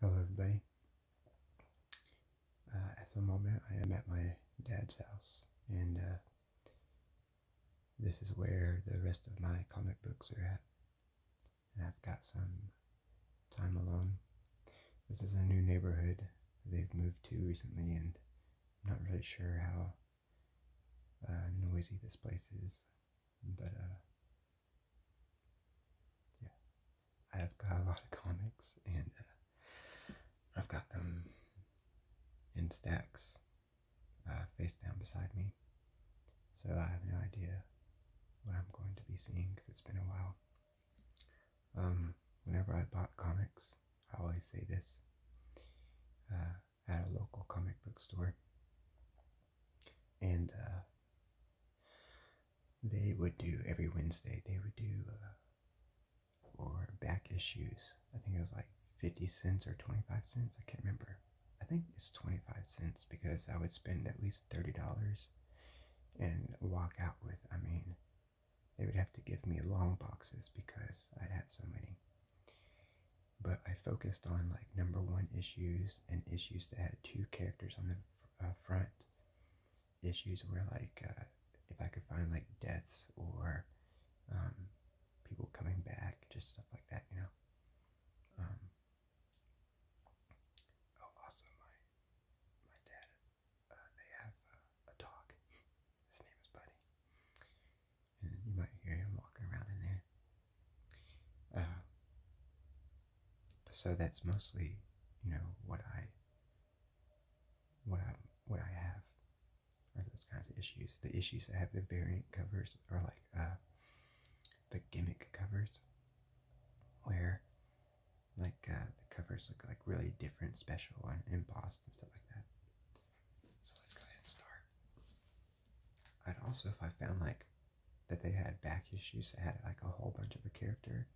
Hello everybody. Uh, at the moment I am at my dad's house and uh, this is where the rest of my comic books are at. And I've got some time alone. This is a new neighborhood they've moved to recently and I'm not really sure how uh, noisy this place is, but yeah, I've got a lot of comics, and uh, I've got them in stacks, uh, face down beside me. So I have no idea what I'm going to be seeing because it's been a while. Um, whenever I bought comics, I always say this uh, at a local comic book store and uh, they would do every Wednesday. They would do uh, back issues. I think it was like fifty cents or twenty five cents. I can't remember. I think it's twenty five cents because I would spend at least thirty dollars and walk out with. I mean, they would have to give me long boxes because I'd have so many. But I focused on like number one issues and issues that had two characters on the uh, front. Issues where like uh, if I could find like deaths or um, people coming back, just stuff like that, you know. Um, oh, also my my dad, uh, they have a dog. His name is Buddy, and you might hear him walking around in there. Uh, so that's mostly, you know, what I, what I, what I have are those kinds of issues. The issues that have the variant covers or like uh, the gimmick covers, where like uh, the covers look like really different, special, and embossed and stuff like that. So let's go ahead and start. I'd also, if I found like that they had back issues that had like a whole bunch of a character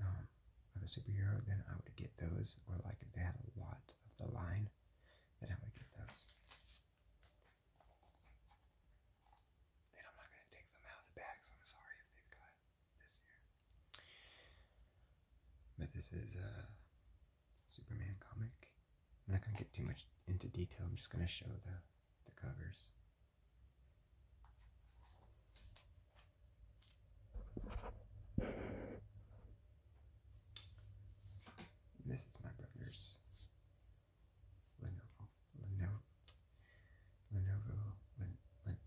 um, of a superhero, then I would get those. Or like if they had a lot of the line, then I would get those. But this is a Superman comic. I'm not going to get too much into detail. I'm just going to show the, the covers. this is my brother's Lenovo, Lenovo, Lenovo, Len,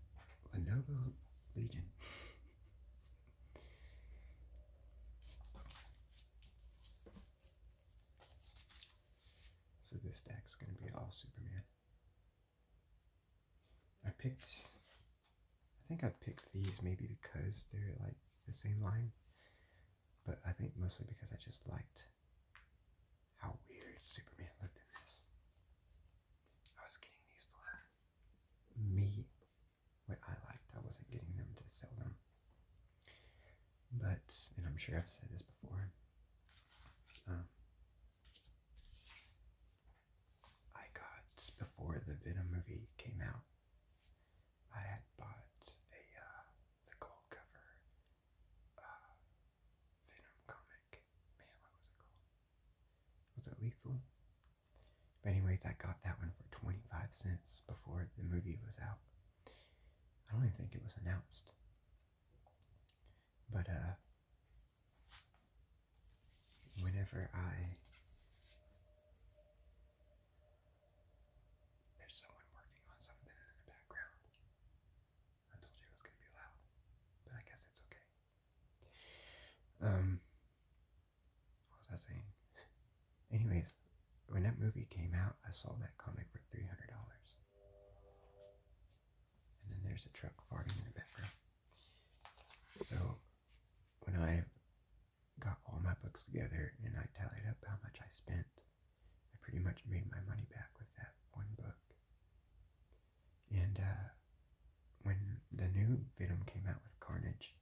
Lenovo Legion. So this deck is going to be all Superman. I picked, I think I picked these maybe because they're like the same line, but I think mostly because I just liked how weird Superman looked in this. I was getting these for me, what I liked. I wasn't getting them to sell them. But, and I'm sure I've said this before, um, I got, before the Venom movie came out, I had bought a, uh, the gold cover, uh, Venom comic. Man, what was it called? Was it Lethal? But anyways, I got that one for 25 cents before the movie was out. I don't even think it was announced. But uh, whenever I there's someone working on something in the background. I told you it was gonna be loud, but I guess it's okay. Um, what was I saying? Anyways, when that movie came out, I sold that comic for three hundred dollars. And then there's a truck farting in the background. So when I got all my books together and I tallied up how much I spent, I pretty much made my money back with that one book. And uh, when the new Venom came out with Carnage,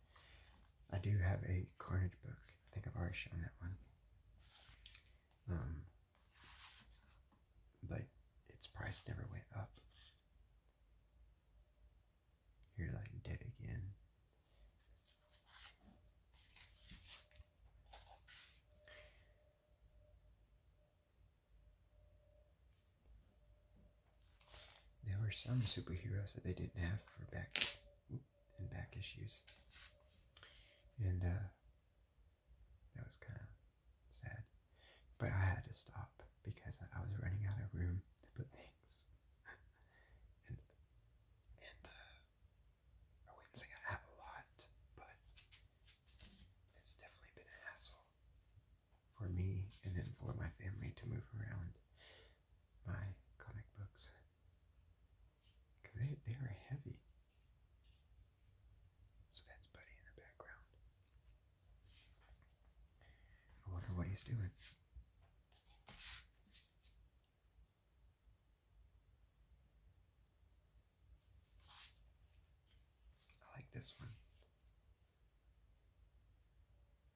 I do have a Carnage book. I think I've already shown that one. Um, but its price never went up. You're like dead again. There were some superheroes that they didn't have for back. Oops and back issues. And uh, that was kind of sad. But I had to stop because I was running out of room to put things. and and uh, I wouldn't say I have a lot, but it's definitely been a hassle for me and then for my family to move around my comic books. Because they, they are heavy. So that's Buddy in the background. I wonder what he's doing. I like this one.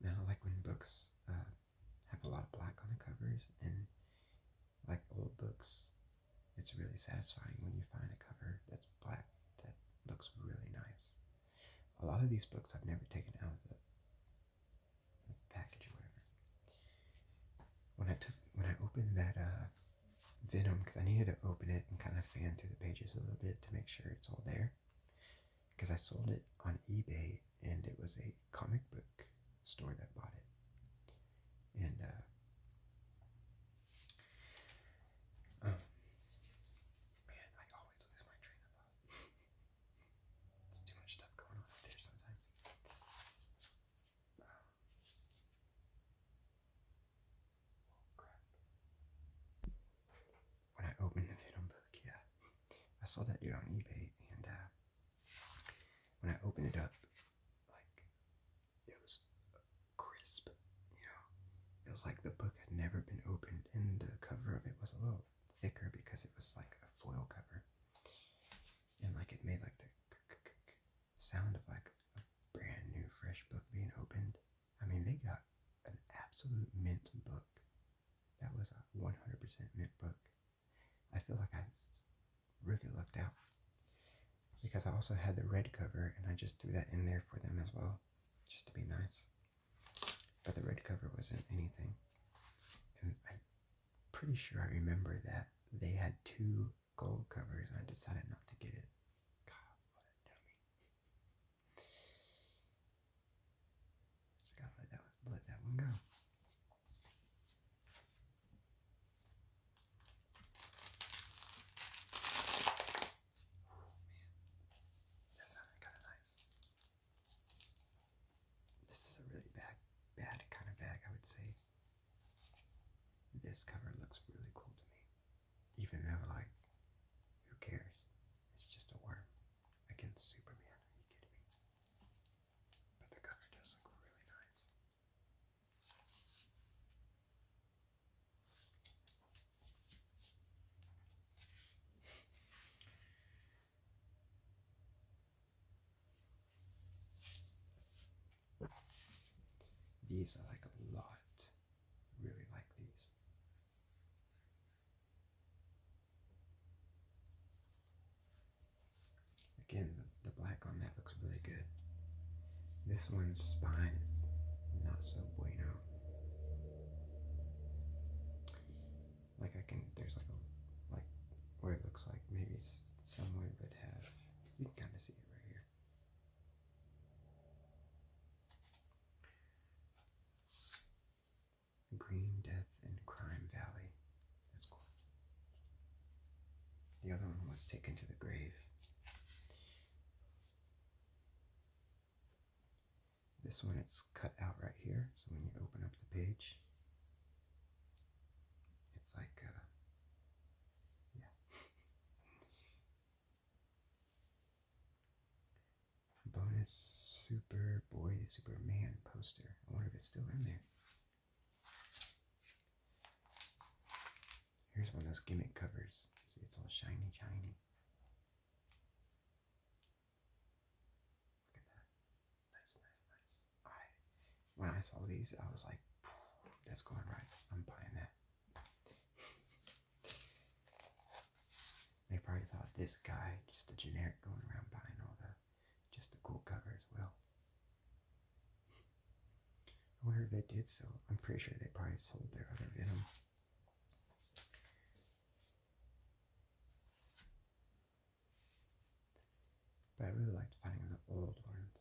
And I like when books uh, have a lot of black on the covers and like old books it's really satisfying when you find a cover that's black that looks really nice a lot of these books i've never taken out of the, the package or whatever when i took when i opened that uh, venom because i needed to open it and kind of fan through the pages a little bit to make sure it's all there because i sold it on ebay and it was a comic book store that bought it. And, uh, oh, man, I always lose my train of thought. It's too much stuff going on out there sometimes. Um, oh, when I opened the Venom book, yeah, I saw that you're on eBay, and, uh, when I opened it up, like it was crisp, you know. It was like the book had never been opened, and the cover of it was a little thicker because it was like a foil cover, and like it made like the sound of like a brand new fresh book being opened. I mean, they got an absolute mint book. That was a 100% mint book. I feel like I really lucked out because I also had the red cover and I just threw that in there for them as well, just to be nice. But the red cover wasn't anything. And I'm pretty sure I remember that they had two gold covers and I decided not to get it. God, what a dummy. Just gotta let that let that one go. that sounded kind of nice. This is a really bad, bad kind of bag, I would say. This cover looks really cool to me, even though like, who cares? It's just a worm against Superman. Are you kidding me? But the color does look really nice. These I like a lot. Really like these. Again, the, black on that looks really good. This one's spine is not so bueno. Like I can, there's like a, like where it looks like maybe somewhere would have, you can kind of see it right here. Green Death and Crime Valley. That's cool. The other one was taken to the grave. This one it's cut out right here, so when you open up the page, it's like, uh, yeah. Bonus Superboy Superman poster. I wonder if it's still in there. Here's one of those gimmick covers. See, it's all shiny, shiny. Look at that. Nice, nice, nice. I, when I saw these, I was like, that's going right. I'm buying that. they probably thought this guy, just a generic going around buying all that just a cool cover as well. I wonder if they did so. I'm pretty sure they probably sold their other Venom. But I really like finding the old ones.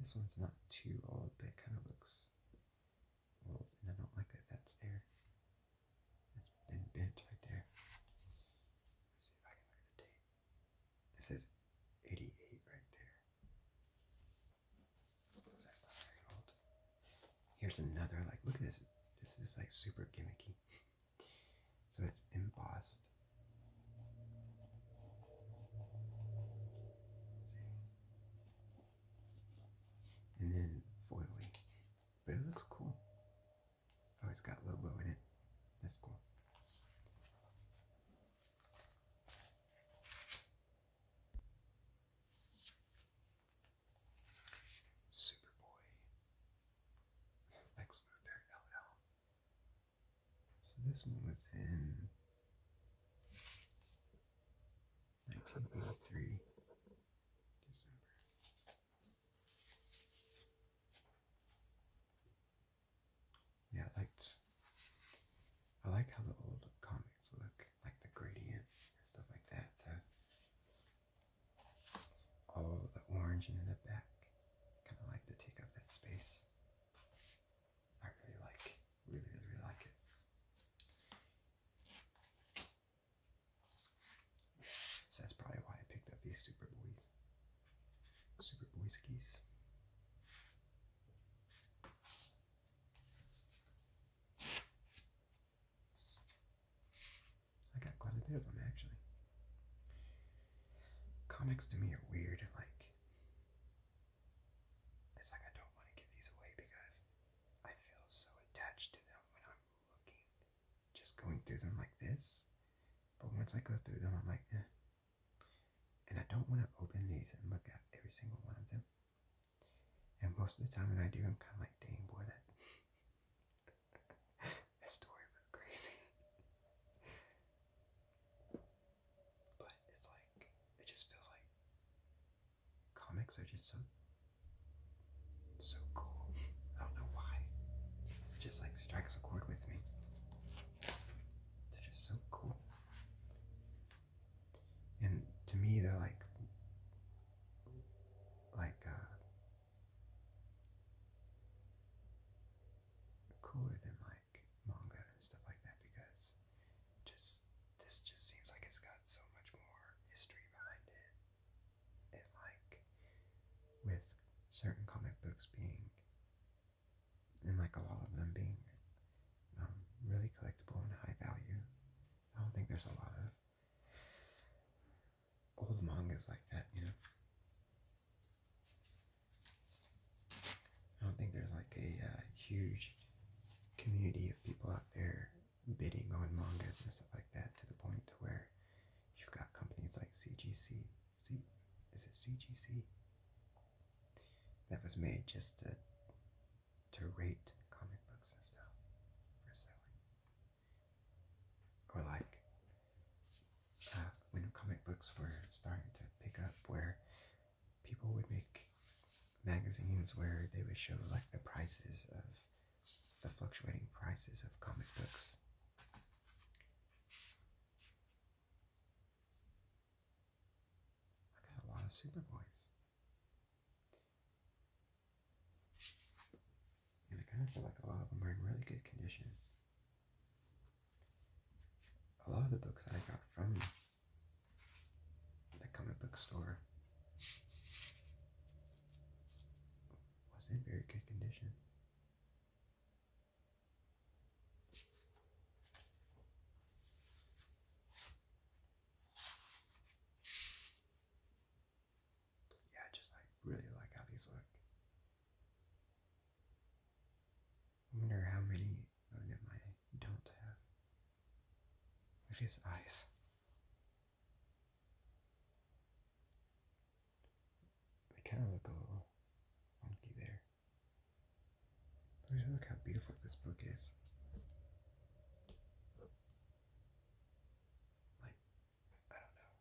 This one's not too old, but kind of looks old, and I don't like that that's there. It's been bent right there. Let's see if I can look the date. It says 88 right there. So that's not very old. Here's another, like, look at this. This is like super gimmicky. so it's embossed. and then foily. But it looks cool. Oh, it's got Lobo in it. That's cool. Superboy. Lex Luthor LL. So this one was in 1983, December. Yeah, I liked I like how the old comics look, like the gradient and stuff like that. The, all the orange and in the back. Kinda like to take up that space. I really like, really, really like it. So that's probably why I picked up these Super Boys. Super Boys keys. I got quite a bit of them actually. Comics to me are weird, like it's like I don't want to give these away because I feel so attached to them when I'm looking just going through them like this. But once I go through them, I'm like, eh. And I don't want to open these and look at every single one of them. And most of the time when I do, I'm kind of like, dang boy, that, that story was crazy. but it's like, it just feels like comics are just so so cool. I don't know why. It just like strikes a chord with me. They're just so cool. And to me, they're like, like, uh, cooler than like manga and stuff like that because just this just seems like it's got so much more history behind it and like with certain comic books being and like a lot of them being um, really collectible and high value. I don't think there's a lot of old mangas like that, you know. I don't think there's like a uh, huge community of people out there bidding on mangas and stuff like that to the point to where You've got companies like CGC. See, is it CGC? That was made just to to rate comic books and stuff for selling. Or like uh, when comic books were starting to pick up, where people would make magazines where they would show like the prices of the fluctuating prices of comic books. I got a lot of Superboys. And I kind of feel like a lot of them are in really good condition. A lot of the books I got from the comic book was in very good condition. Yeah, just like really like how these look. wonder how many of them I don't have. Look at his eyes. They kind of look a little funky there. look how beautiful this book is. Like, I don't know.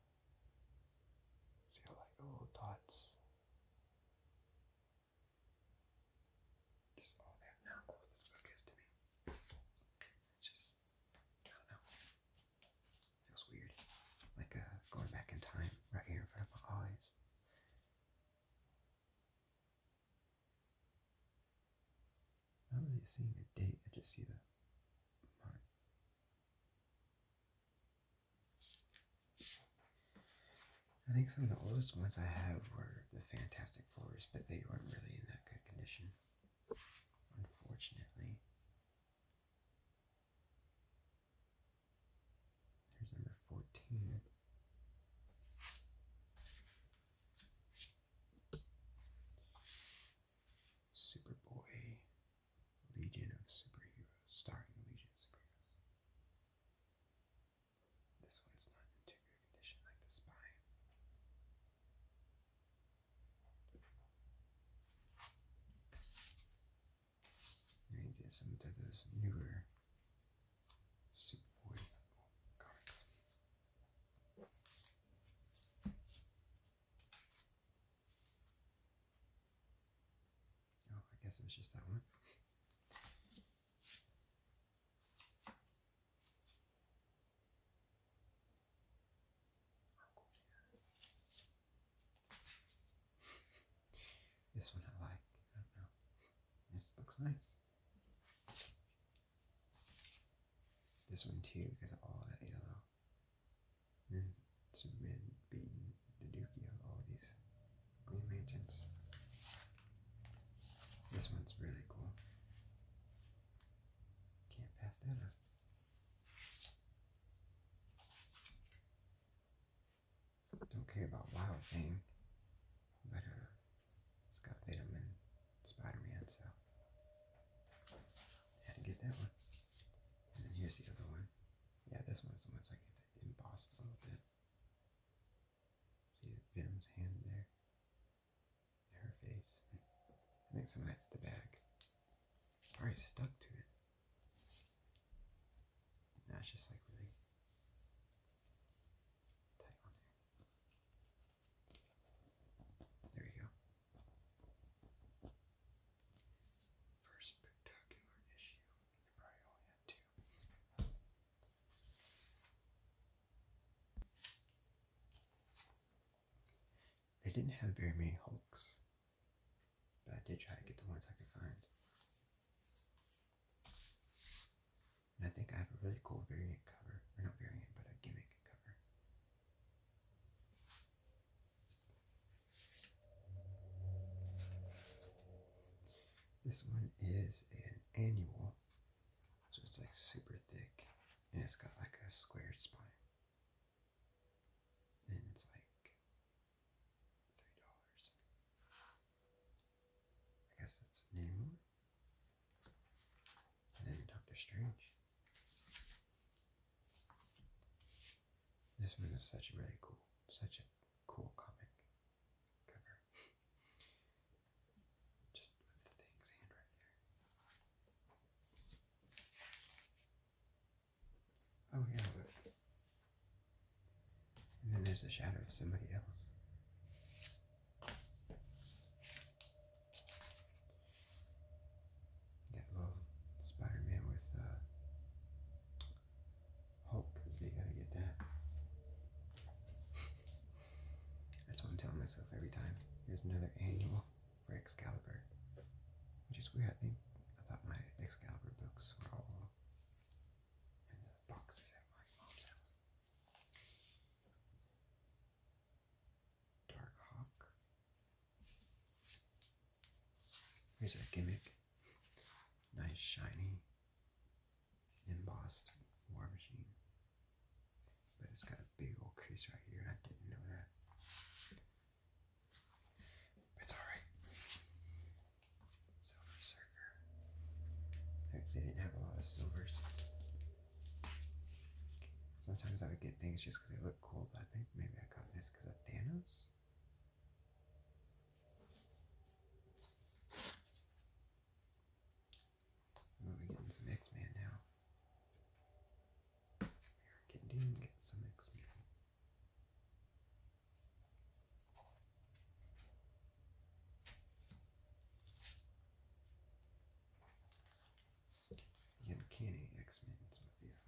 See like the little dots. Just all that now close this book is to me. Just I don't know. Feels weird. Like uh, going back in time right here in front of my eyes. I'm not seeing a date, I just see the I think some of the oldest ones I have were the Fantastic Fours, but they weren't really in that good condition, unfortunately. There's number 14. Superboy, Legion of Superheroes, starring Legion of Superheroes. This one's not in too good condition like the spy. And get some of those newer Superboy comics. Oh, I guess it was just that one this one I like. I don't know. This looks nice. This one too, because all that yellow. And Superman beating the dookie of all these Green Lanterns. This one's really cool. Can't pass that up. Don't care about Wild Thing, but uh, it's got Venom and Spider-Man, so had to get that one. And then here's the other one. Yeah, this one's the one that's like embossed a little bit. See Venom's hand there? her face. I think some of that's the bag. Probably stuck to it. Now just like really tight there. There go. First spectacular issue. probably only had two. They didn't have very many Hulks, but I did try to get the ones I could find. And I think I have a really cool variant cover, or not variant, but a gimmick cover. This one is an annual, so it's like super thick, and it's got like a squared spine. And it's like three dollars. I guess that's new. And then Doctor Strange. This one is such a really cool, such a cool comic cover. Just with the things hand right there. Oh yeah, And then there's the shadow of somebody else. That little Spider-Man with uh, Hulk, so gotta get that. That's what I'm telling myself every time. Here's another annual for Excalibur. Which is weird, I think. I thought my Excalibur books were all in the boxes at my mom's house. Dark Here's our gimmick. Nice shiny embossed war machine. But it's got a big old crease right here, and I didn't know that. It's alright. Silver Surfer. They, didn't have a lot of silvers. Sometimes I would get things just because they look cool, but I think maybe I got this because of Thanos? Oh, we're getting man now. American Dean gets some X-Men. The Uncanny X-Men is what these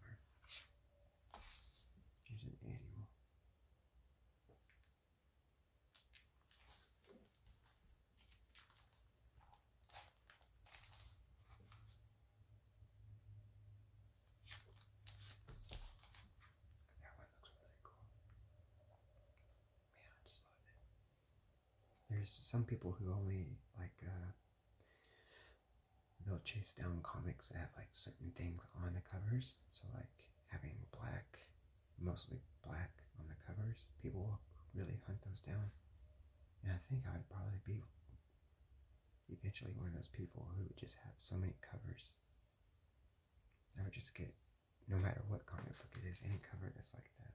an annual that one looks really cool. Man, I just love it. There's some people who only like uh, they'll chase down comics that have like certain things on the covers. So like having black, mostly black on the covers, people will really hunt those down. And I think I would probably be eventually one of those people who would just have so many covers. I would just get, no matter what comic book it is, any cover that's like that.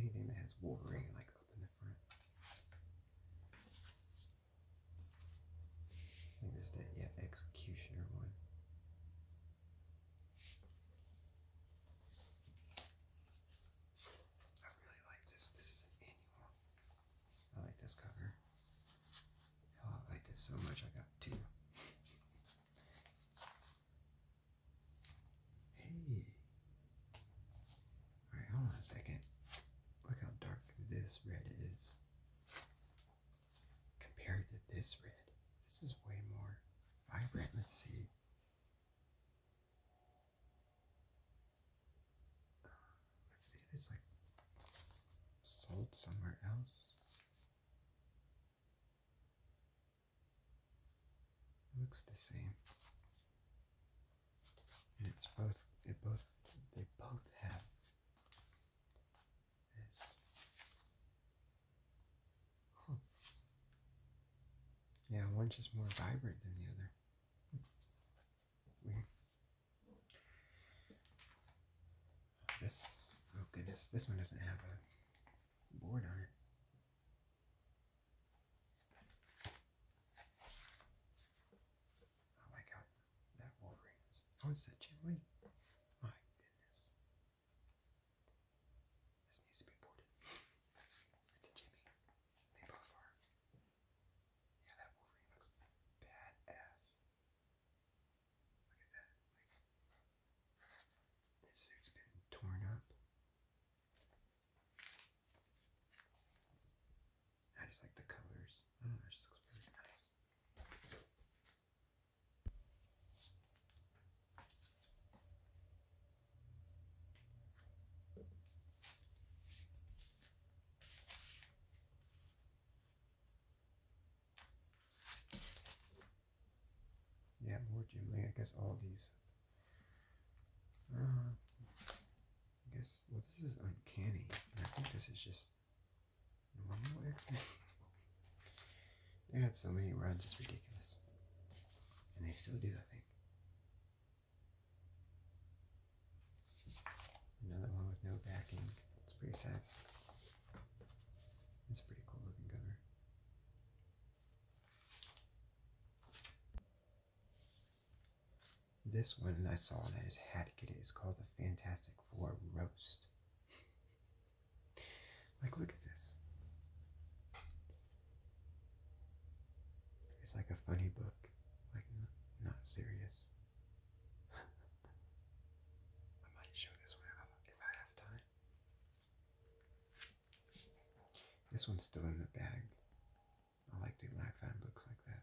Anything that has Wolverine like up in the front. I think this is the yeah, executioner one. I really like this. This is annual. I like this cover. Hell, oh, I like this so much I got two. Hey, Alright, hold on a second. Look how dark this red is. Compared to this red, this is way more vibrant. Let's see. Let's see if it's like sold somewhere else. looks the same and it's both they both they both have this. Yeah, one's just more vibrant than the other. Weird. Hmm. This oh goodness, this one doesn't have a board on it. Oh my god, that Wolverine Oh, it's that Jim My goodness. This needs to be aborted. It's a Jimmy. They both are. Yeah, that Wolverine looks badass. Look at that. this suit's been torn up. I just like the colors. I do looks really nice. Yeah, more Jim I guess all these. Uh, I guess, well, this is uncanny. I think this is just normal X-Men. they had so many runs, it's ridiculous. And they still do, I think. Another one with no backing. It's pretty sad. It's pretty cool looking cover. This one I saw and I just to get it. It's called the Fantastic Four Roast. like, look at this. It's like a funny book, like, not serious. I might show this one if I have time. This one's still in the bag. I like the black find books like that.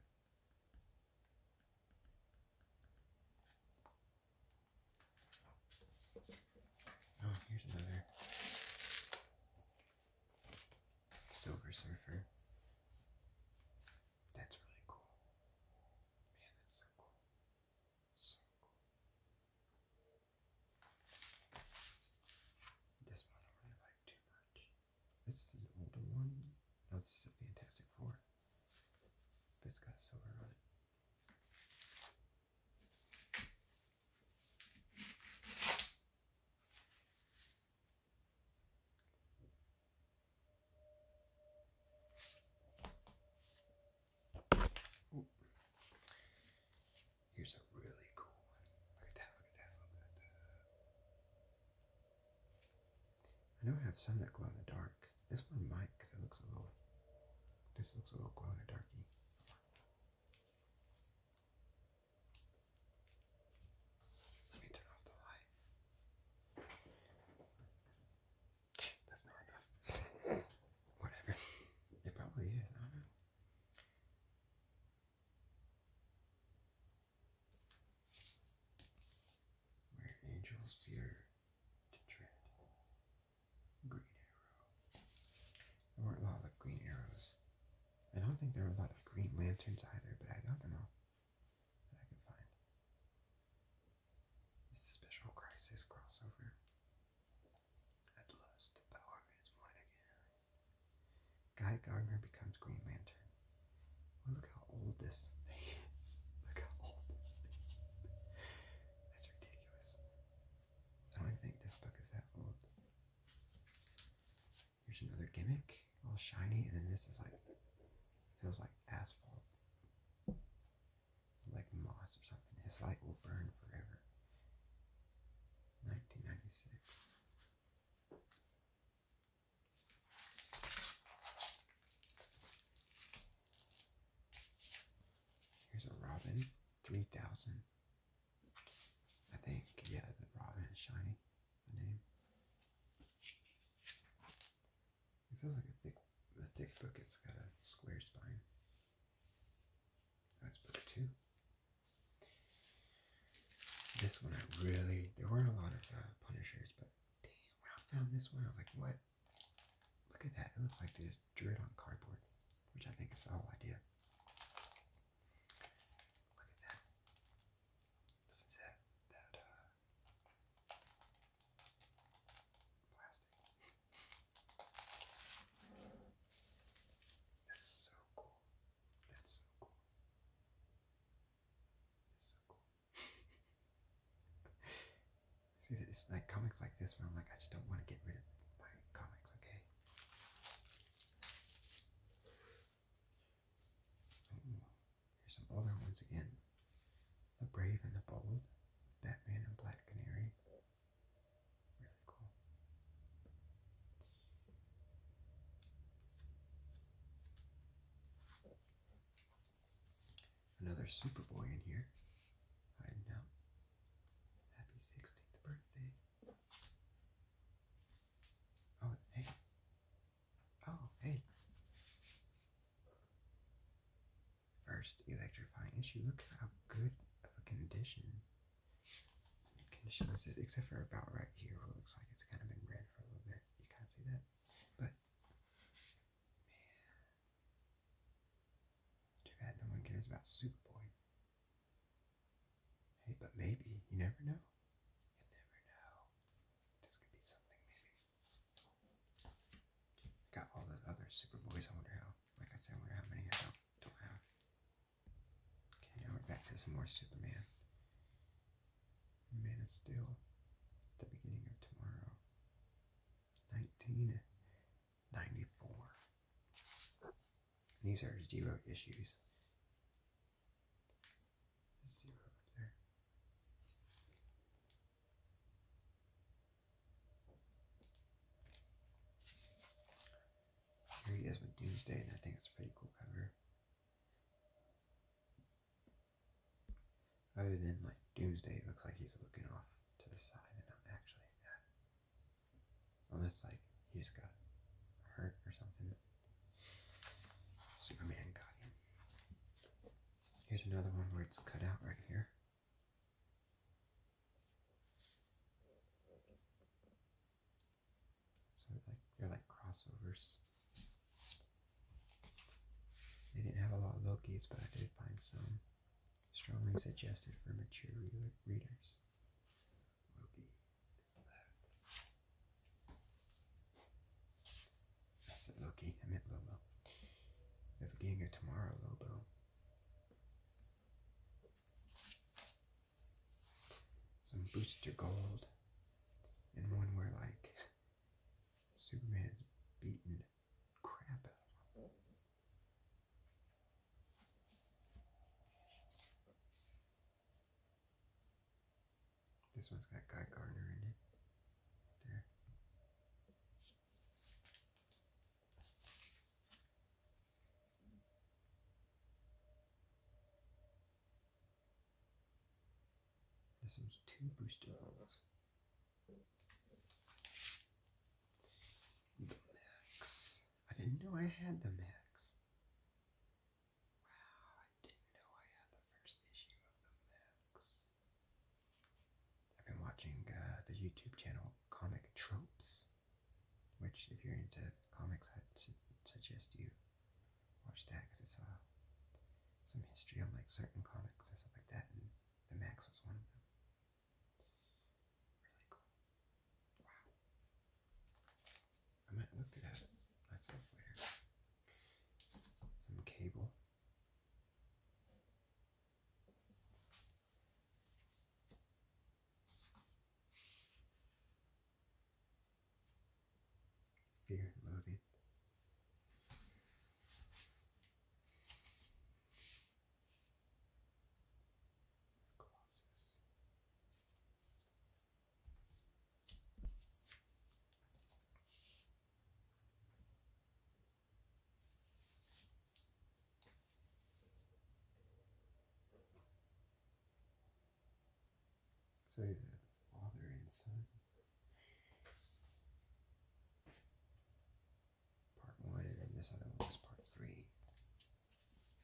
Oh, here's another Silver Surfer. That's really cool. Man, that's so cool. So cool. This one I really like too much. This is an older one. No, this is a Fantastic Four. But it's got silver on it. Here's a really cool one. Look at that, look at that, look at that. I know I have some that glow in the dark. This one might, because it looks a little. This looks a little glow in the darky. Let me turn off the light. That's not enough. Whatever. It probably is. I don't know. Where angels fear to tread. Green arrow. There weren't a lot of green arrows. I don't think there were a lot of green lanterns either, but I don't know. I could find. This special crisis crossover. At last, the power is mine again. Guy Gardner becomes Green Lantern. look how old this Look how old this That's ridiculous. I don't think this book is that old. Here's another gimmick, all shiny, and then this is like feels like asphalt. Like moss or something. His light will burn forever. 1996. Here's a Robin 3000. I think, yeah, the Robin is shiny. The name. It feels like a thick, a thick book. It's got a square spine. That's book two. This one, I really, there weren't a lot of uh, Punishers, but damn, when I found this one, I was like, what? Look at that. It looks like they just drew it on cardboard, which I think is the whole idea. Look at that. Listen to that, that uh, plastic. That's so cool. That's so cool. It's so cool. See, it's like comics like this where I'm like, I just don't want to get rid of my comics, okay? here's some older ones again. The Brave and the Bold, Batman and Black Canary. Really cool. Another Superboy in here, hiding out. Happy 16th birthday. Oh, hey. Oh, hey. First electrifying issue. Look how good of a condition condition this is, except for about right here where looks like it's kind of been red for a little bit. You can't see that. But, man. Too bad no one cares about Superboy. Hey, but maybe. You never know. You never know. This could be something, maybe. got all those other Superboys. I wonder how, like I said, I wonder how many I do don't have. Okay, now we're back to some more Superman. Man of Steel, the beginning of tomorrow. 1994. These are zero issues. Zero there. Here he is with Doomsday, and I think it's a pretty cool cover. Other than like Doomsday, it looks like he's looking off to the side and I'm actually at. Unless like he just got hurt or something. Superman got him. Here's another one where it's cut out right here. So they're like they're like crossovers. They didn't have a lot of Lokis, but I did find some. Strongly suggested for mature readers. Loki I said Loki, I meant Lobo. The beginning of tomorrow, Lobo some booster gold, and one where like Superman's beaten crap out of him. This one's got Guy Gardner in it. There. This one's two booster levels. The max. I didn't know I had the max. Wow, I didn't know I had the first issue of the max. I've been watching uh, the YouTube channel Comic Tropes, which, if you're into comics, I'd suggest you Watch that because it's uh, some history on like certain comics and stuff like that, and the Max was one of them. Really cool. Wow. I might look through that myself later. Some cable fear and loathing. Colossus. So the Father and Son. Part one, and then this other one was part three.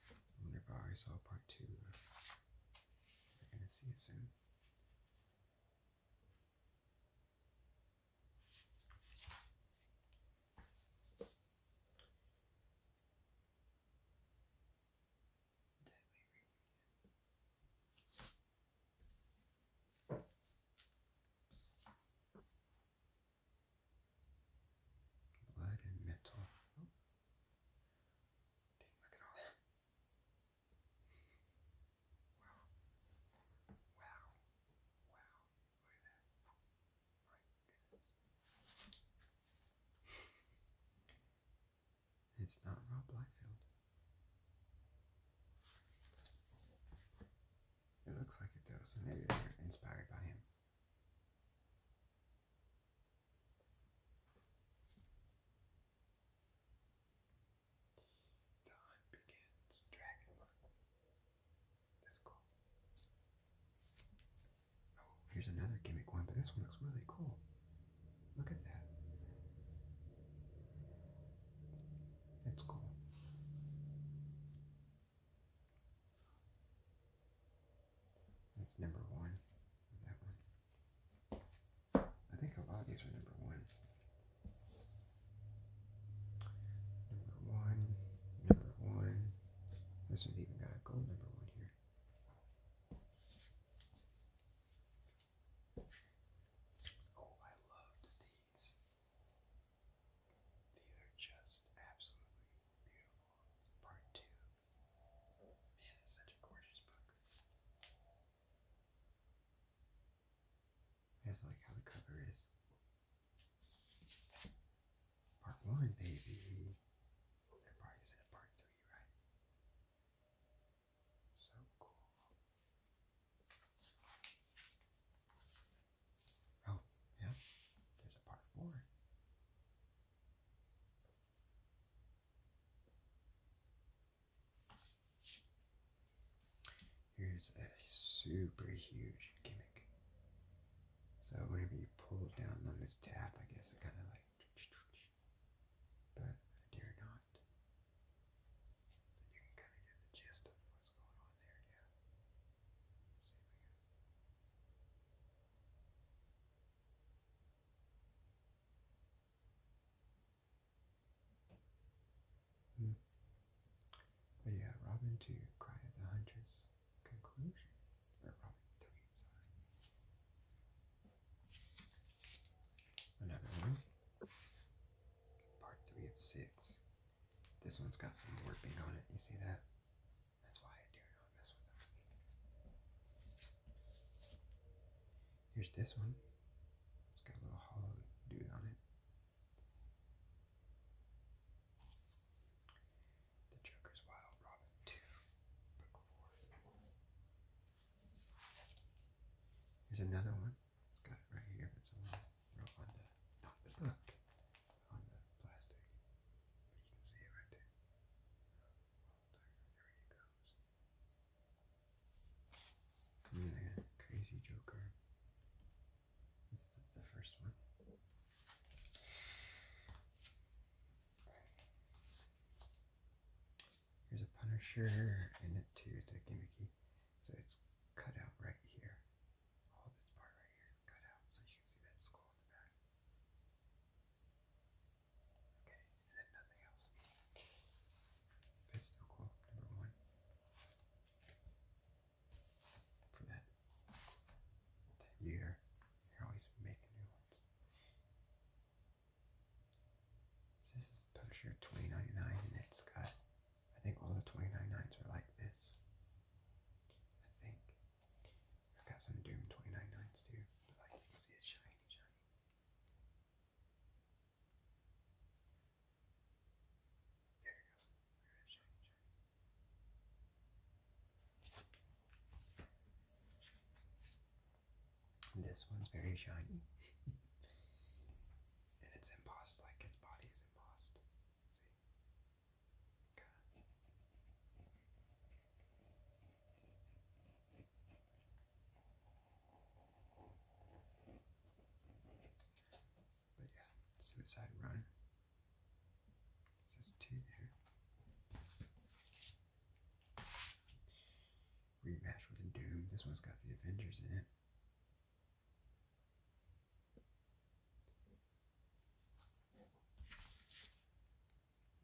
I wonder if I saw part two. We're gonna see it soon that we Blood and metal. Oh. look at all that. Wow. Wow. Wow. Look at that. My goodness. It's not Rob Liefeld. It looks like it though, so maybe they're inspired by him. The hunt begins. Dragon Hunt. That's cool. Oh, here's another gimmick one, but this one looks really cool. Look at that. That's cool. That's number one. That one. I think a lot of these are number one. Number one, number one. This one's even got a gold number one here. Oh, I loved these. These are just absolutely beautiful. Part two. Man, it's such a gorgeous book. I just like how the cover is. Part one, baby. Oh, there probably is part three, right? So cool. Oh, yeah, there's a part four. Here's a super huge gimmick. So whenever you pull down on this tab, I guess it kind of like but I dare not. But you can kind of get the gist of what's going on there, yeah. Let's Hmm. Well, yeah, Robin to Cry of the hunter's Conclusion. Another one. Part three of six. This one's got some warping on it. You see that? That's why I dare not mess with them. Here's this one. It's got a little hollow dude on it. The Joker's Wild Robin 2, Book 4. Here's another one. It's got it right here. It's on the, on the book, on the plastic. But you can see it right there. There he goes. And then Crazy Joker. This the first one. Here's a Punisher in it too, it's a gimmicky. So it's cut out right here. All this part right here is cut out, so you can see that skull in the back. Okay, and then nothing else. it's still cool, number one. For that year this is Punisher 2099 and it's got, I think all the 2099s are like this. I think. I've got some Doom 2099s too, but like can see it's shiny, shiny. There it goes. shiny, shiny this one's very shiny. and it's embossed like its body is embossed. But yeah, suicide run. It two there. Rematch with Doom. This one's got the Avengers in it.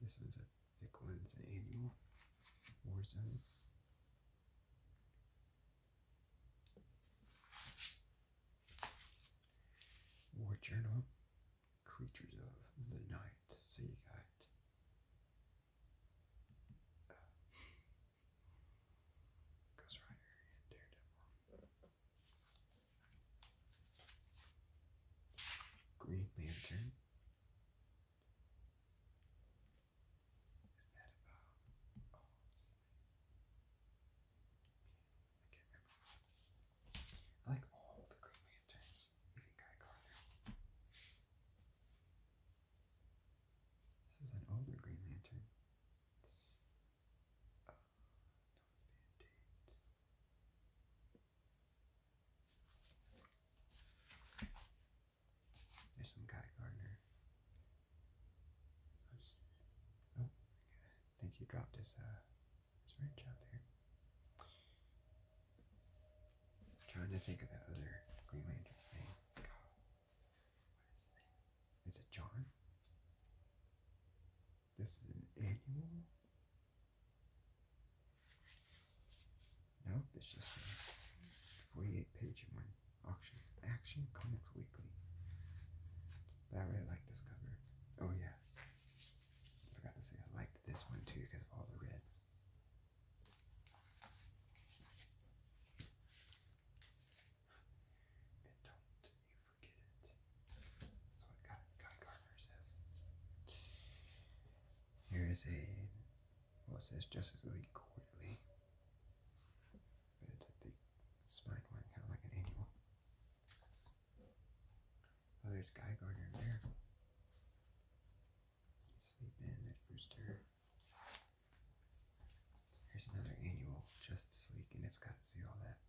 This one's a thick one. It's an annual Warzone. War Journal creatures of the night. So you got uh, Ghost Rider Daredevil, Green Lantern. Is that about? I like all the Green Lanterns, even Guy Carter. This is an older Green Lantern. Oh, There's some Guy Gardner. I just, oh, I think you dropped his, uh, his wrench out there. I'm trying to think of that other Green Lantern thing. Is it John? This is an annual? Nope, it's just a 48 page one. Auction. Action Comics Weekly. But I really like this cover. Oh yeah. I forgot to say I liked this one too because of all the red. And don't you forget it. That's what Guy, Gardner says. Here is a, well, it says Justice League Quarterly. But it's a big spine one, kind of like an annual. Oh, there's Guy Gardner there. sleeping at Rooster. Here's another annual Justice League, and it's got to see all that.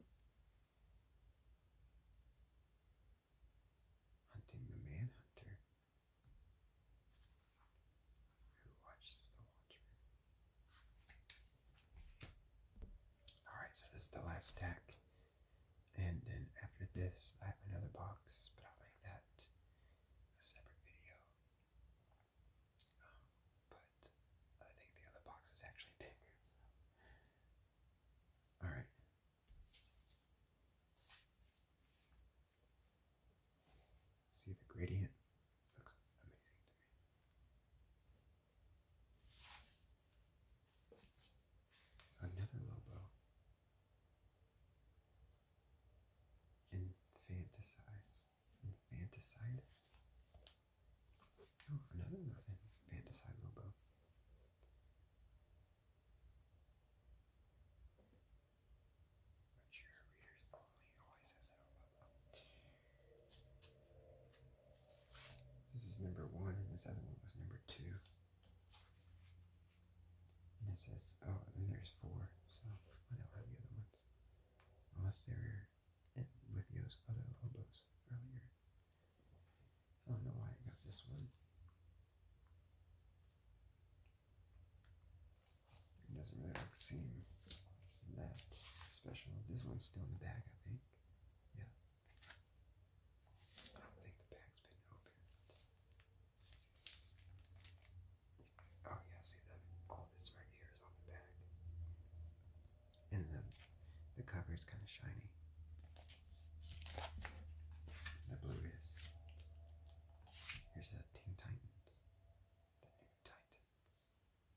Love it. Hunting the Manhunter. Who watches the Watcher? Alright, so this is the last stack. And then after this, I have another box, but I'll make that a separate video. Um, but I think the other box is actually bigger. Alright. See the gradient? Looks amazing to me. Another Lobo. Infanticize. Infanticide? Oh, another infanticide Lobo. This is number one, and this other one was number two. And it says, oh, and there's four, so I don't have the other ones. Unless they were with those other lobos earlier. I don't know why I got this one. It doesn't really seem that special. This one's still in the bag, I think. Yeah. I don't think the bag's been opened. Oh yeah, see that all this right here is on the bag. And the the cover is kind of shiny. The blue is. Here's a Teen Titans. The new Titans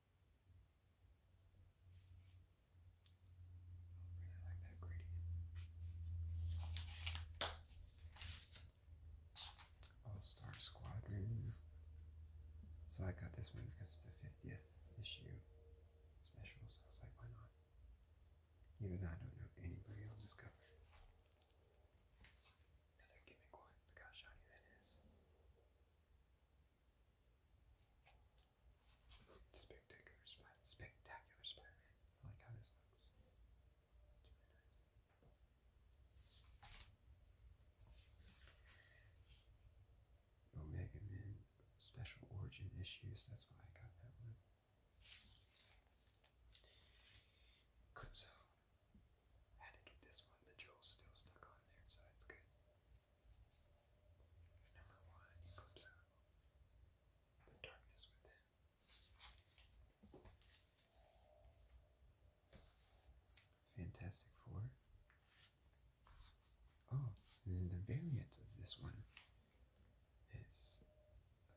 really oh, like that gradient. All-Star Squadron. So I got this one because it's the 50th issue special, so I was like, why not? Even I don't know anybody on this Another gimmick one. Look how shiny that is. Spectacular Spider Spectacular Spider Man. I like how this looks. Omega oh, Man Special Origin Issues, that's why I got that one. Clip Had to get this one, the jewel's still stuck on there, so that's good. Number one clips out the darkness within. Fantastic Four. Oh, and the variant of this one is the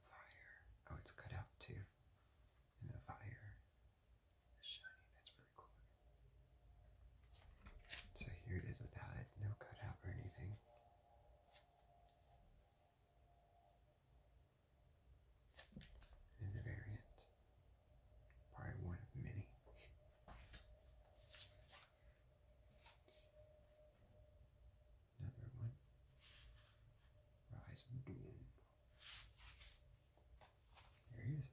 fire. Oh, it's cut out too. And the fire shiny. That's pretty cool. So here it is without it, no cutout or anything. In the variant, probably one of many. Another one. Rise of Doom. There he is.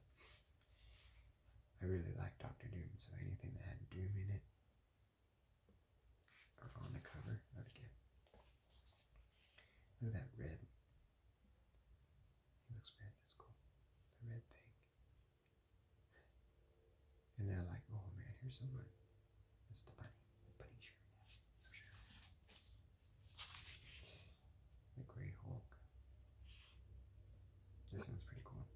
I really like Doctor Doom, so anything that had Doom in it or on the cover, I would get. Look at that red. He looks red, that's cool. The red thing. And they like, oh man, here's someone. It's the bunny. bunny shirt. Sure. The Grey Hulk. This one's pretty cool.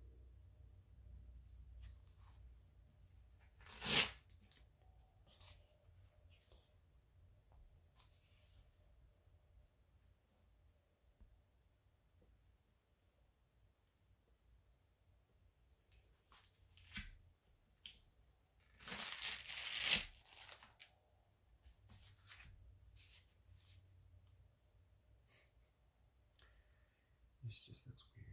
This just looks weird.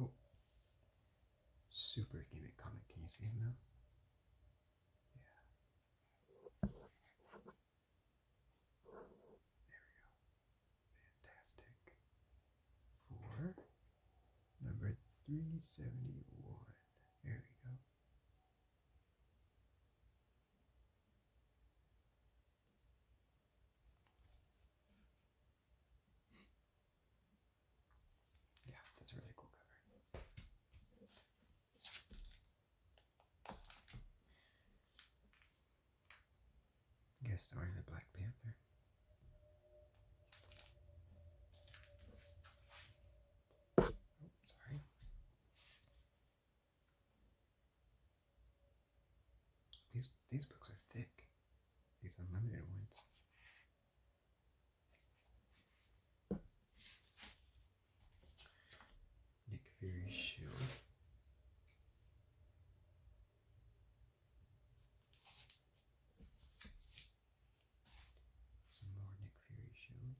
Oh. Super gimmick comic. Can you see him now? Yeah. There we go. Fantastic. Four. Number 371. There we go. Yeah, that's a really cool cover. Guest starring the Black Panther. Oh, sorry. These these books are thick. These unlimited ones. Nick Fury's shield. Some more Nick Fury shield.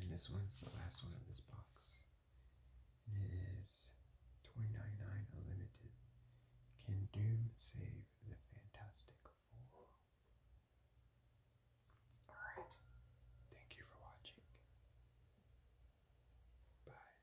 And this one's the last one of this box. And it is 2099 Unlimited. Can Doom save the Fantastic Four? Alright. Thank you for watching. Bye.